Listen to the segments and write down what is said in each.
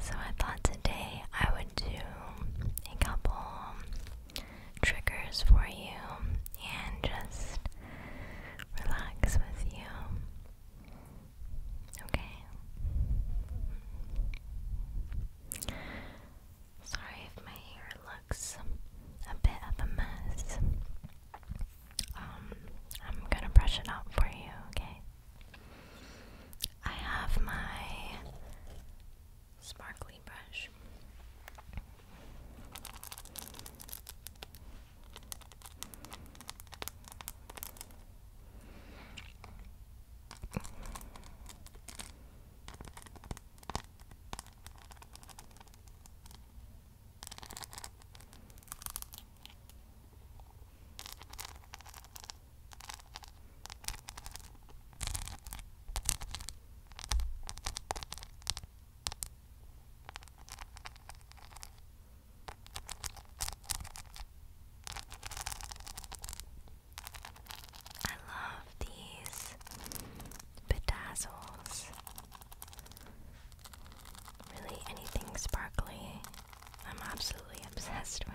So I thought today I would do a couple triggers for you and just relax with you. Okay. Sorry if my hair looks a bit of a mess. Um, I'm gonna brush it out for you, okay? I have my sparkly brush. I love these bedazzles. Really, anything sparkly I'm absolutely obsessed with.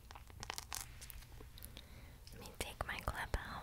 Let me take my clip out.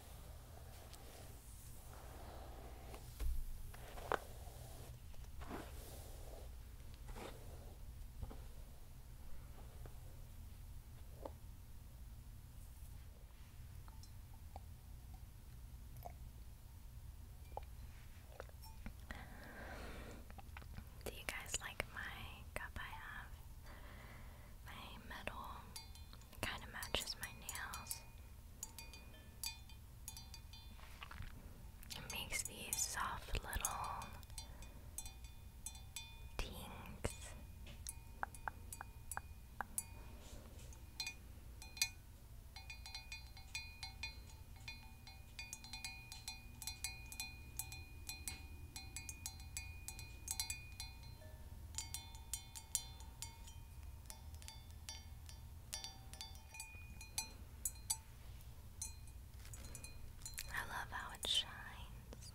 Do you guys like my cup I have? My metal Kind of matches my nails. It makes these soft little tings. I love how it shines.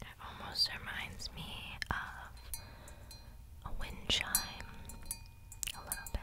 It almost reminds me of a wind chime a little bit.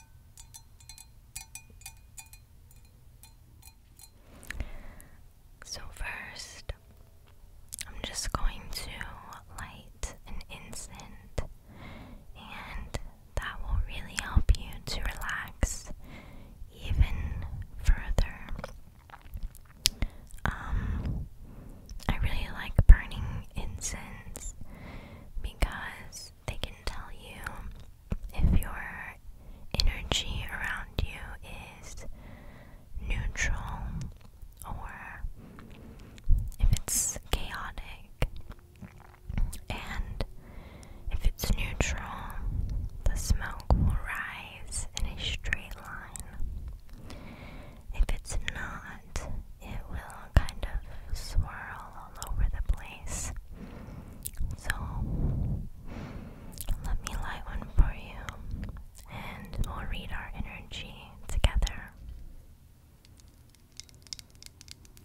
So, first, I'm just going to light an incense, and that will really help you to relax even further. Um, I really like burning incense because they can tell you if your energy around you is neutral or if it's chaotic. And if it's neutral, the smoke will rise in a straight line. If it's not, it will kind of swirl all over the place. So, let me light one for you and we'll read our energy together.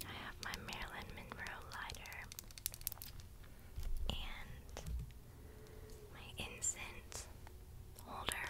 I have my Marilyn Monroe lighter and my incense holder.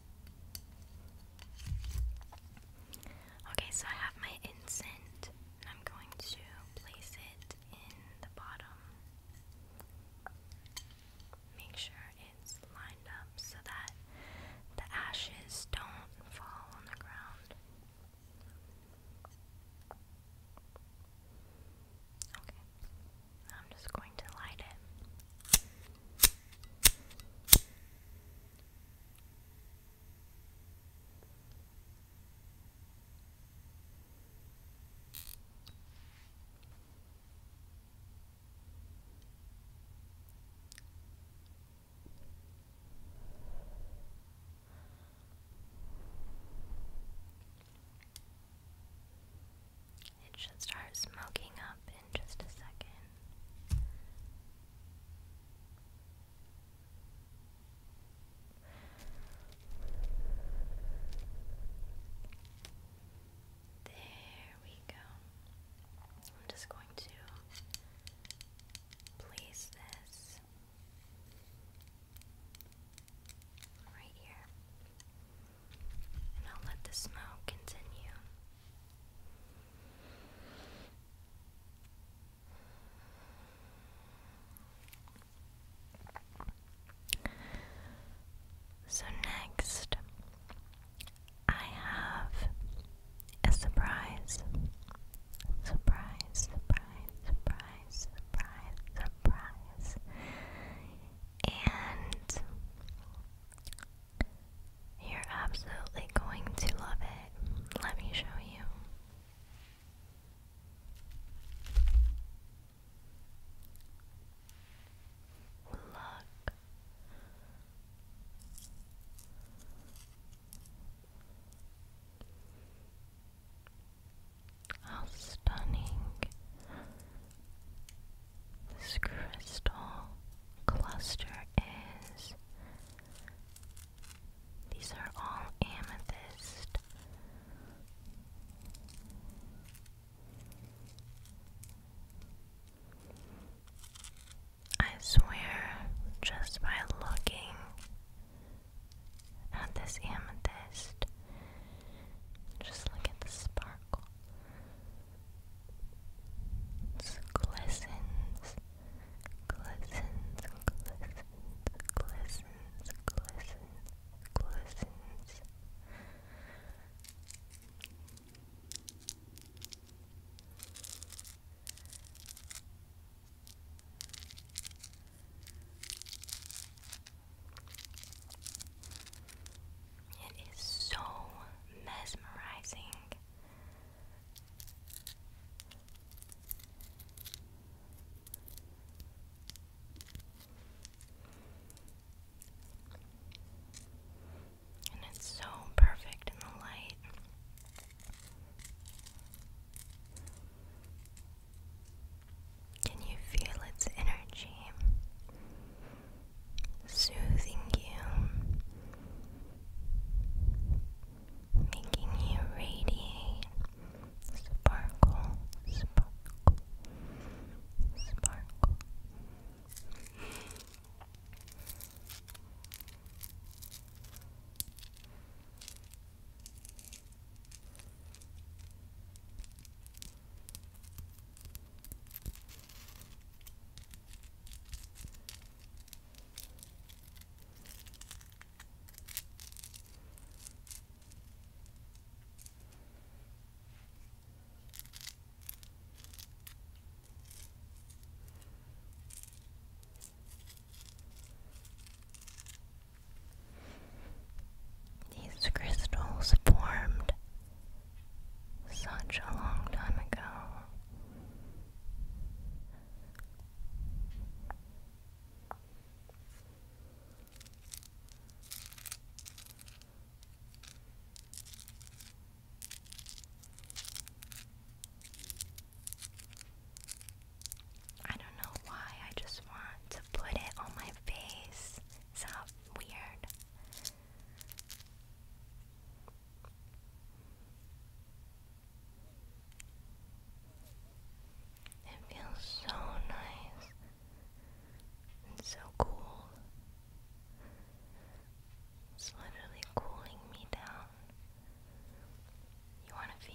Okay, so I have my incense, I'm going to place it in the bottom. Make sure it's lined up so that the ashes don't fall on the ground. Okay, I'm just going to light it. It should start smoking up in just a second. There we go. I'm just going to place this right here. And I'll let the smoke continue. So, next, I have a surprise. Surprise, surprise, surprise, surprise, surprise. And you're absolutely going to love it. Let me show you. Look. How stunning this crystal cluster is. These are all amethyst. I swear, just by looking at this amethyst, just look at the sparkle. It glistens glistens, glistens, glistens, glistens, glistens. It is so mesmerizing. And it's so perfect in the light. Can you feel its energy soothing you? making you radiate, sparkle, sparkle, sparkle. These crystals formed such a long time ago. I don't know why, I just want to put it on my face. It's weird. It feels so nice and so cool. It's literally cooling me down. You want to feel?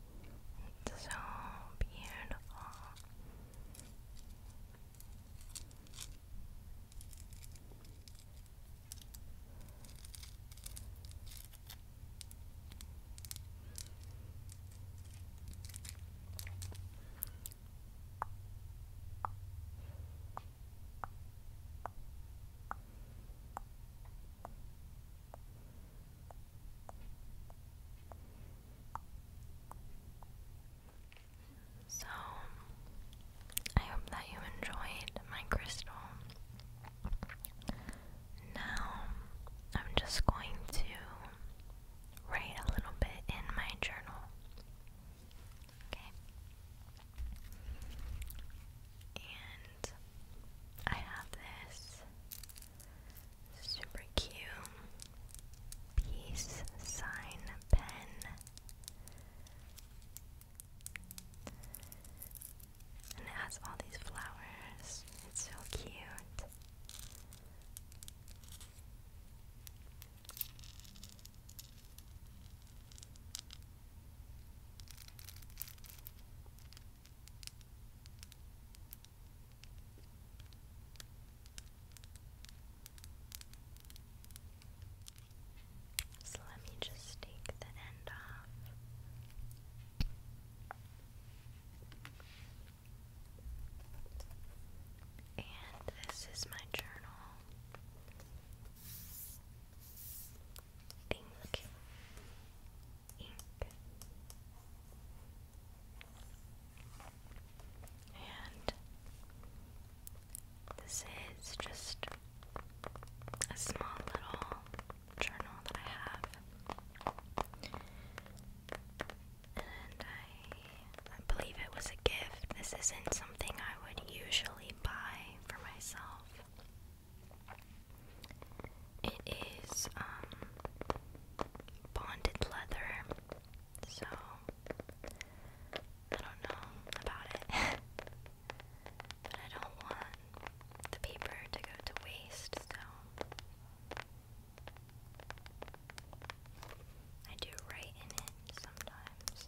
It's so beautiful. So, I hope that you enjoyed my crystal. Now, I'm just going to write a little bit in my journal. Okay? And I have this Super cute. Peace sign pen. And it has all these flowers. It's so cute. So let me just take the end off. And this is my journal. Ink. Ink. And this is just a small little journal that I have. And I, believe it was a gift. This isn't something I would usually buy for myself. It is um, bonded leather, so I don't know about it. but I don't want the paper to go to waste, so I do write in it sometimes.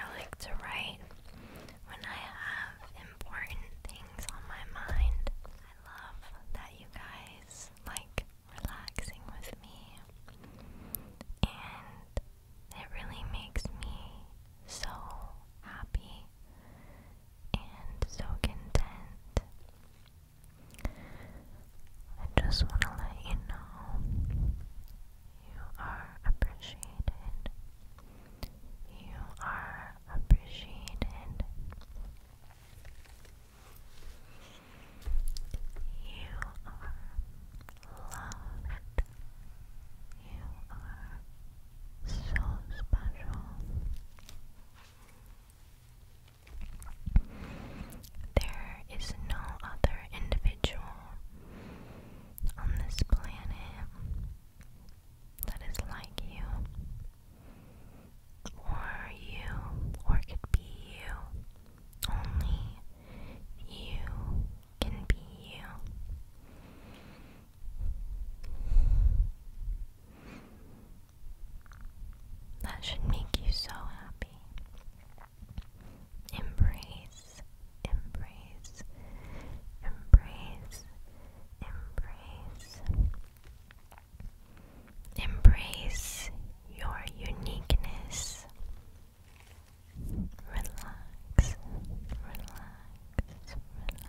I like to write when I have important things on my mind. I love that you guys like relaxing with me, and it really makes me so happy and so content. I just want to let you know you are appreciated. You are appreciated. You are loved. You are so special. There is no other individual on this planet that is like you, or you, or could be you. Only you can be you. That should make you so happy. Embrace, embrace, embrace, embrace. Embrace your uniqueness. Relax, relax, relax.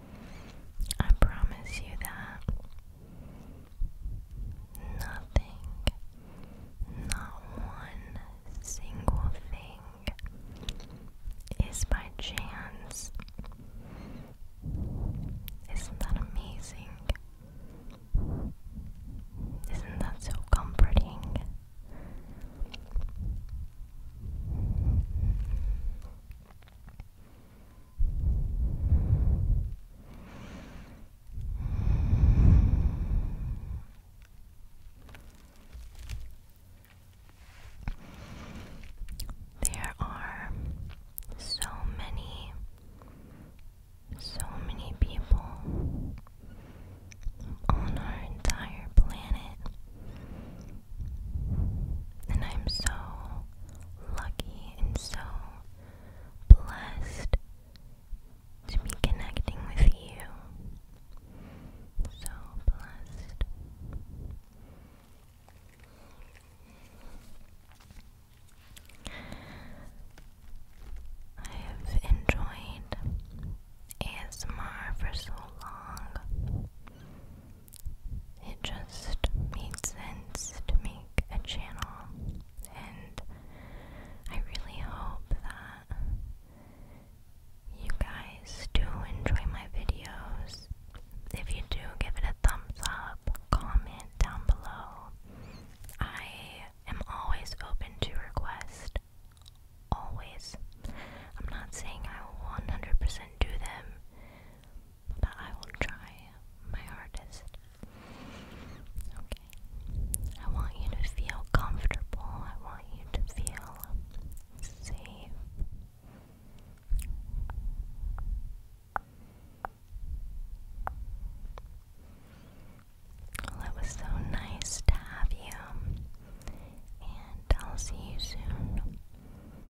I promise you that nothing, not one single thing, is by chance. Isn't that amazing? Isn't that so comforting? There are so many, so many people on our entire planet and I'm so lucky and so blessed to be connecting with you. So blessed. I have enjoyed ASMR for so long. It just made sense to make a channel, and I really hope that you guys do enjoy my videos. If you do, give it a thumbs up, comment down below. I am always open to request. Always. I'm not saying I will 100% do them, but I will try my hardest. Okay. I want you to feel comfortable. I want you to feel safe. Well, it was so nice to have you, and I'll see you soon.